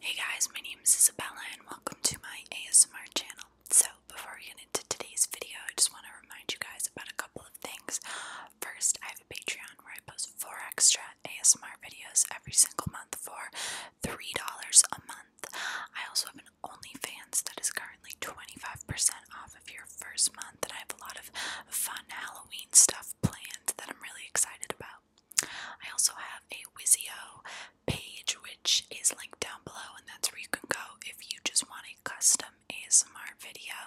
Hey guys, my name is Isabella and welcome to my ASMR channel. So, before we get into today's video, I just want to remind you guys about a couple of things. First, I have a Patreon where I post four extra ASMR videos every single month for $3 a month. I also have an OnlyFans that is currently 25% off of your first month, and I have a lot of fun Halloween stuff planned that I'm really excited about. I also have a Wizio page, which is linked down below, and that's where you can go if you just want a custom ASMR video.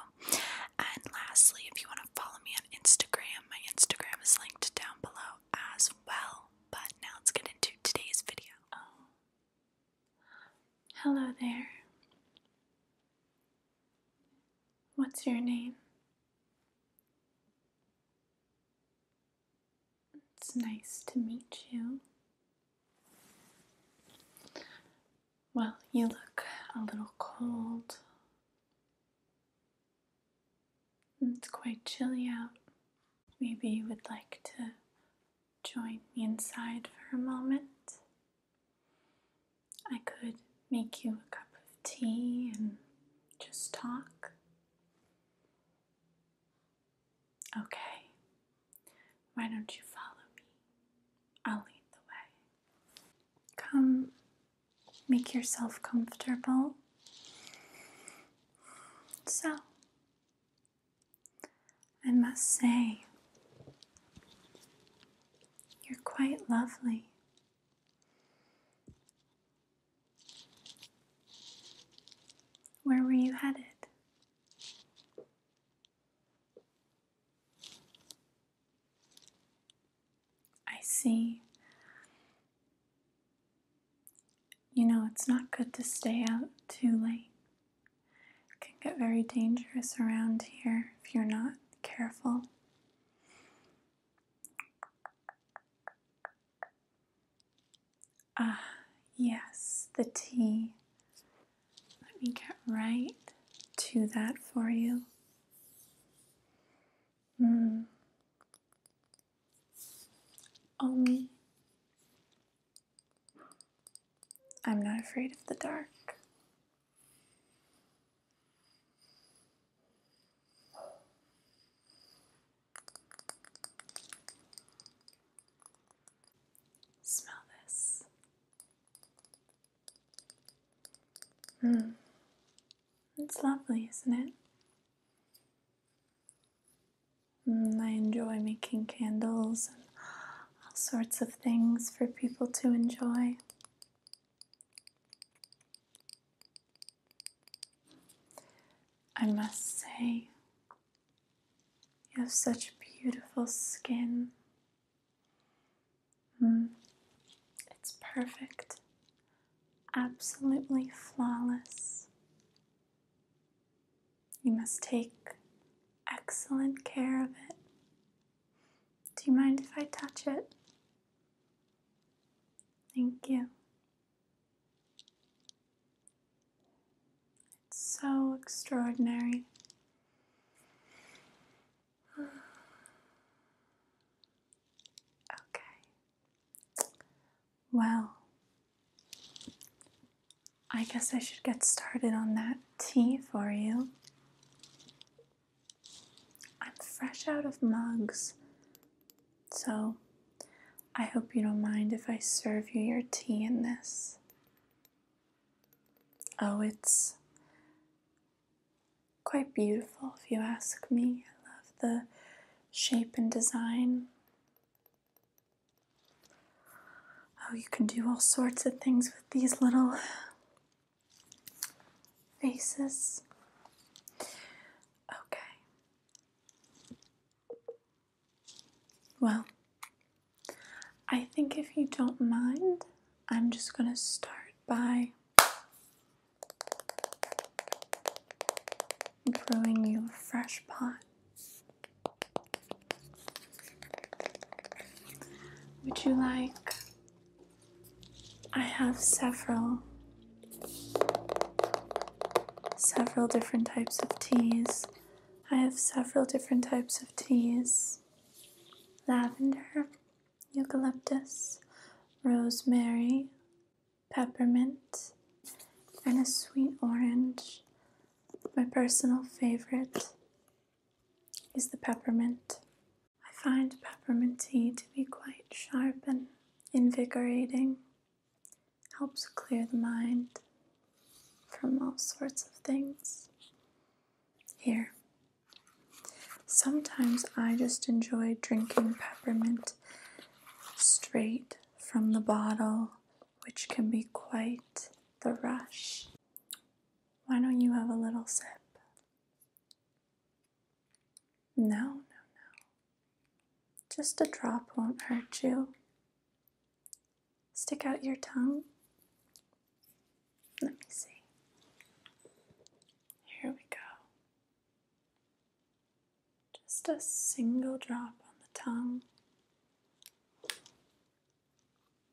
And lastly, if you want to follow me on Instagram, my Instagram is linked down below as well. But now let's get into today's video. Hello there. What's your name? It's nice to meet you. Well, you look a little cold. It's quite chilly out. Maybe you would like to join me inside for a moment. I could make you a cup of tea and just talk. Okay, why don't you follow me? I'll lead the way. Come, make yourself comfortable. So, I must say, you're quite lovely. Where were you headed? I see. You know, it's not good to stay out too late. It can get very dangerous around here if you're not careful. Ah, yes, the tea. Let me get right to that for you. Mm. Only I'm not afraid of the dark. Smell this. Hmm. It's lovely, isn't it? Mm, I enjoy making candles and all sorts of things for people to enjoy. I must say, you have such beautiful skin. Mm, it's perfect, absolutely flawless. You must take excellent care of it. Do you mind if I touch it? Thank you. It's so extraordinary. Okay. Well, I guess I should get started on that tea for you. I'm fresh out of mugs, so I hope you don't mind if I serve you your tea in this. Oh, it's quite beautiful if you ask me. I love the shape and design. Oh, you can do all sorts of things with these little faces. Okay, well, I think if you don't mind, I'm just going to start by brewing you a fresh pot. Would you like? I have several Several different types of teas. I have several different types of teas lavender, eucalyptus, rosemary, peppermint, and a sweet orange. My personal favorite is the peppermint. I find peppermint tea to be quite sharp and invigorating helps clear the mind from all sorts of things. Here. Sometimes I just enjoy drinking peppermint straight from the bottle, which can be quite the rush. Why don't you have a little sip? No, no, no. Just a drop won't hurt you. Stick out your tongue. Let me see. Here we go. Just a single drop on the tongue.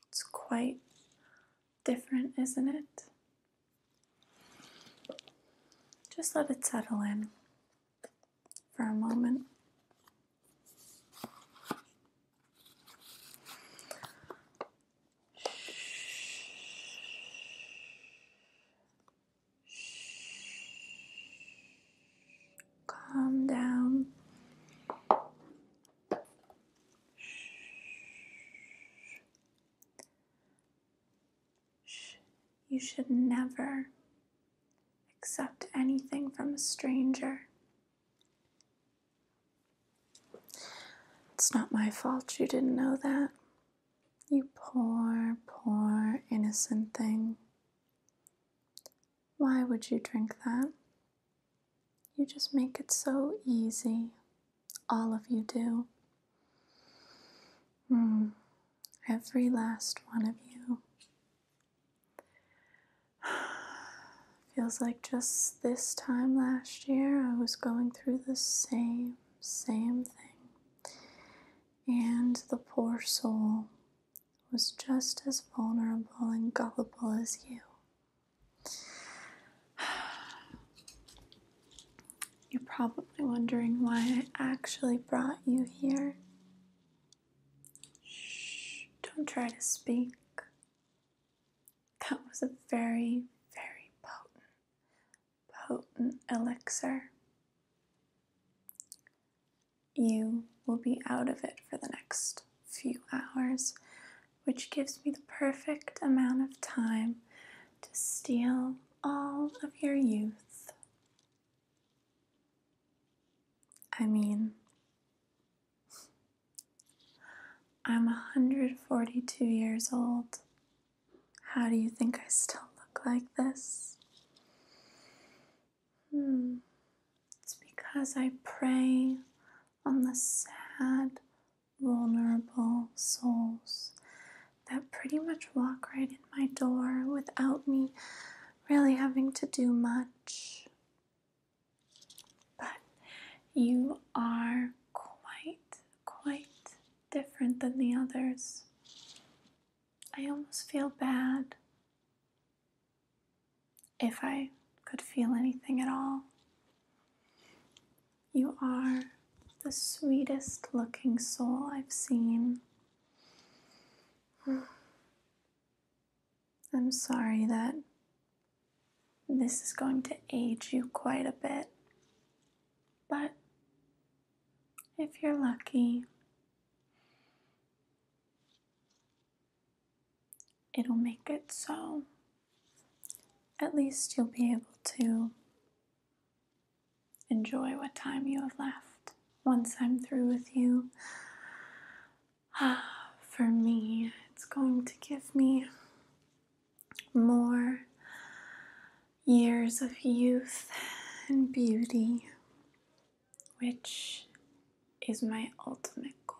It's quite different, isn't it? Just let it settle in for a moment. Calm down. You should never accept anything from a stranger. It's not my fault you didn't know that. You poor, poor, innocent thing. Why would you drink that? You just make it so easy. All of you do. Hmm every last one of you. Feels like just this time last year I was going through the same, same thing. And the poor soul was just as vulnerable and gullible as you. You're probably wondering why I actually brought you here Shh, don't try to speak. That was a very, very potent, potent elixir. You will be out of it for the next few hours, which gives me the perfect amount of time to steal all of your youth. I mean, I'm 142 years old. How do you think I still look like this? Hmm. It's because I prey on the sad, vulnerable souls that pretty much walk right in my door without me really having to do much, but you are quite, quite different than the others. I almost feel bad if I could feel anything at all. You are the sweetest looking soul I've seen. I'm sorry that this is going to age you quite a bit, but if you're lucky, it'll make it so at least you'll be able to Enjoy what time you have left. Once I'm through with you, ah, for me, it's going to give me more years of youth and beauty, which is my ultimate goal.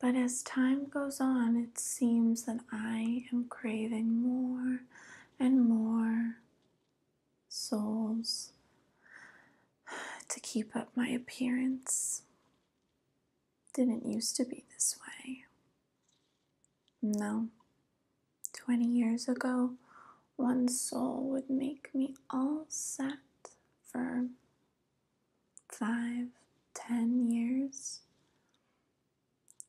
But as time goes on, it seems that I am craving more and more souls to keep up my appearance. Didn't used to be this way. No. 20 years ago, one soul would make me all sad for five, ten years.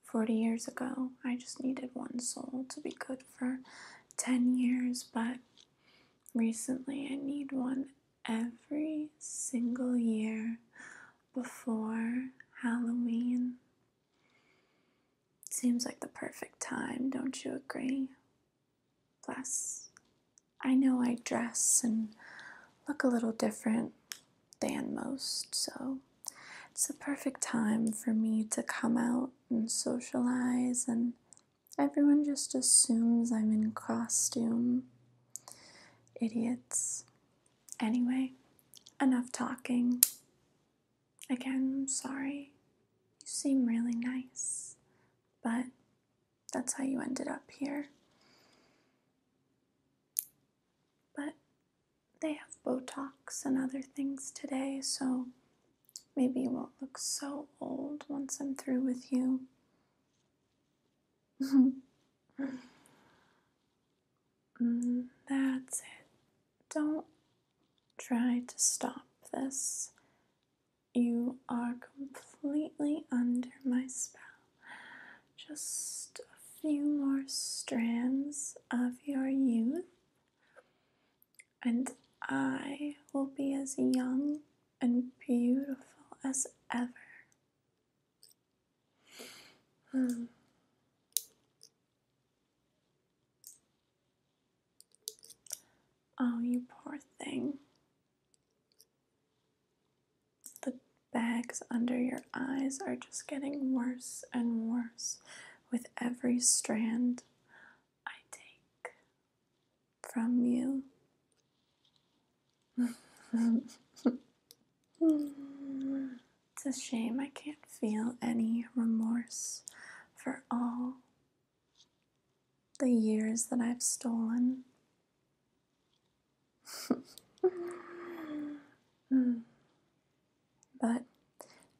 40 years ago, I just needed one soul to be good for 10 years, but recently I need one every single year before Halloween. Seems like the perfect time, don't you agree? Plus, I know I dress and look a little different than most, so it's the perfect time for me to come out and socialize, and everyone just assumes I'm in costume. Idiots. Anyway, enough talking. Again, I'm sorry. You seem really nice, but that's how you ended up here. But they have Botox and other things today, so maybe you won't look so old once I'm through with you. Mm, that's it. Don't try to stop this. You are completely under my spell. Just a few more strands of your youth and I will be as young and beautiful as ever. Hmm. Oh, you poor thing. The bags under your eyes are just getting worse and worse with every strand I take from you. it's a shame I can't feel any remorse for all the years that I've stolen. But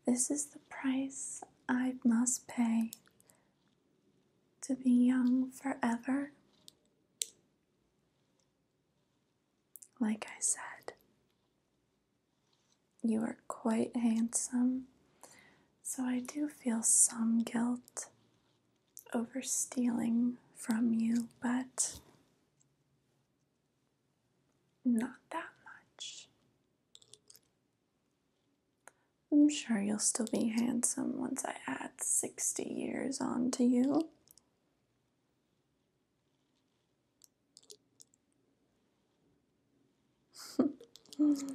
this is the price I must pay to be young forever. Like I said, you are quite handsome, so I do feel some guilt over stealing from you, but not that much. I'm sure you'll still be handsome once I add 60 years on to you.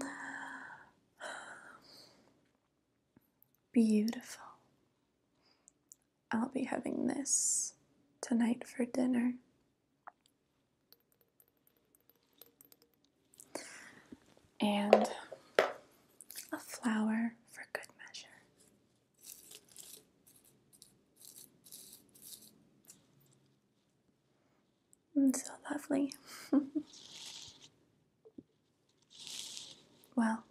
Beautiful. I'll be having this tonight for dinner and a flower for good measure. And mm, so lovely. well,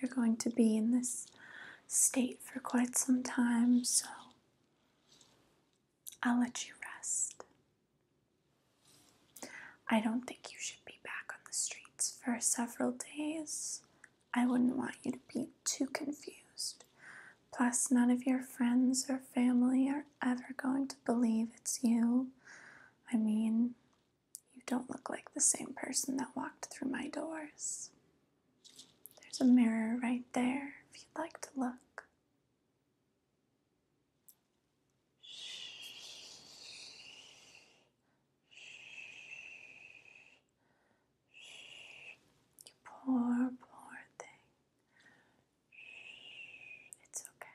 you're going to be in this state for quite some time, so I'll let you rest. I don't think you should be back on the streets for several days. I wouldn't want you to be too confused. Plus, none of your friends or family are ever going to believe it's you. I mean, you don't look like the same person that walked through my doors. There's a mirror right there if you'd like to look. You poor, poor thing. It's okay.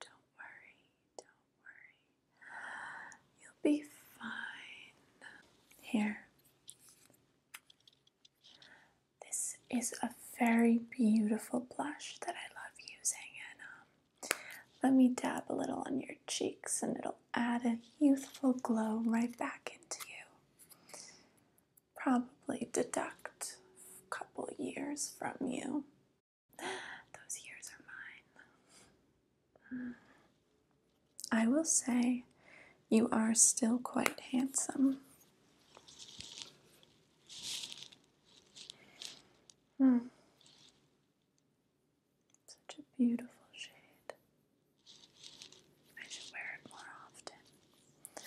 Don't worry, don't worry. You'll be fine. Here. This is a very beautiful blush that I love using, and um, let me dab a little on your cheeks, and it'll add a youthful glow right back into you probably deduct a couple years from you. Those years are mine. I will say you are still quite handsome. Hmm. Such a beautiful shade. I should wear it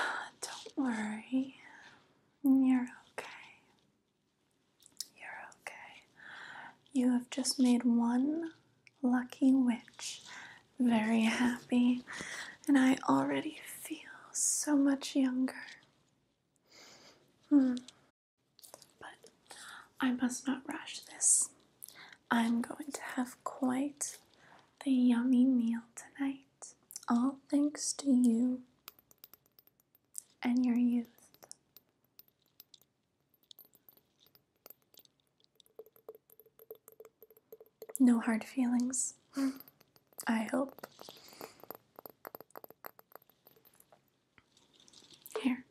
more often. Don't worry, you're okay. You're okay. You have just made one lucky witch very happy, and I already feel so much younger. Hmm. But I must not rush this. I'm going to have quite the yummy meal tonight, all thanks to you and your youth. No hard feelings, I hope. Here,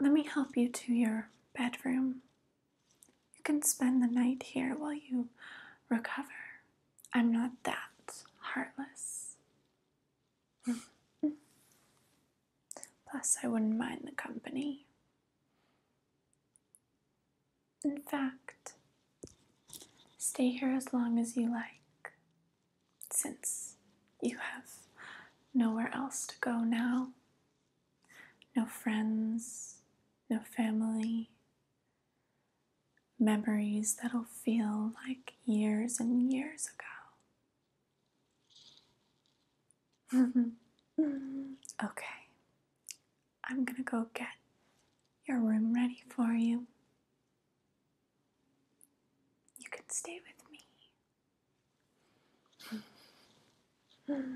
let me help you to your bedroom. You can spend the night here while you recover. I'm not that heartless. Plus, I wouldn't mind the company. In fact, stay here as long as you like, since you have nowhere else to go now no friends, no family, memories that'll feel like years and years ago. okay, I'm gonna go get your room ready for you. You can stay with me.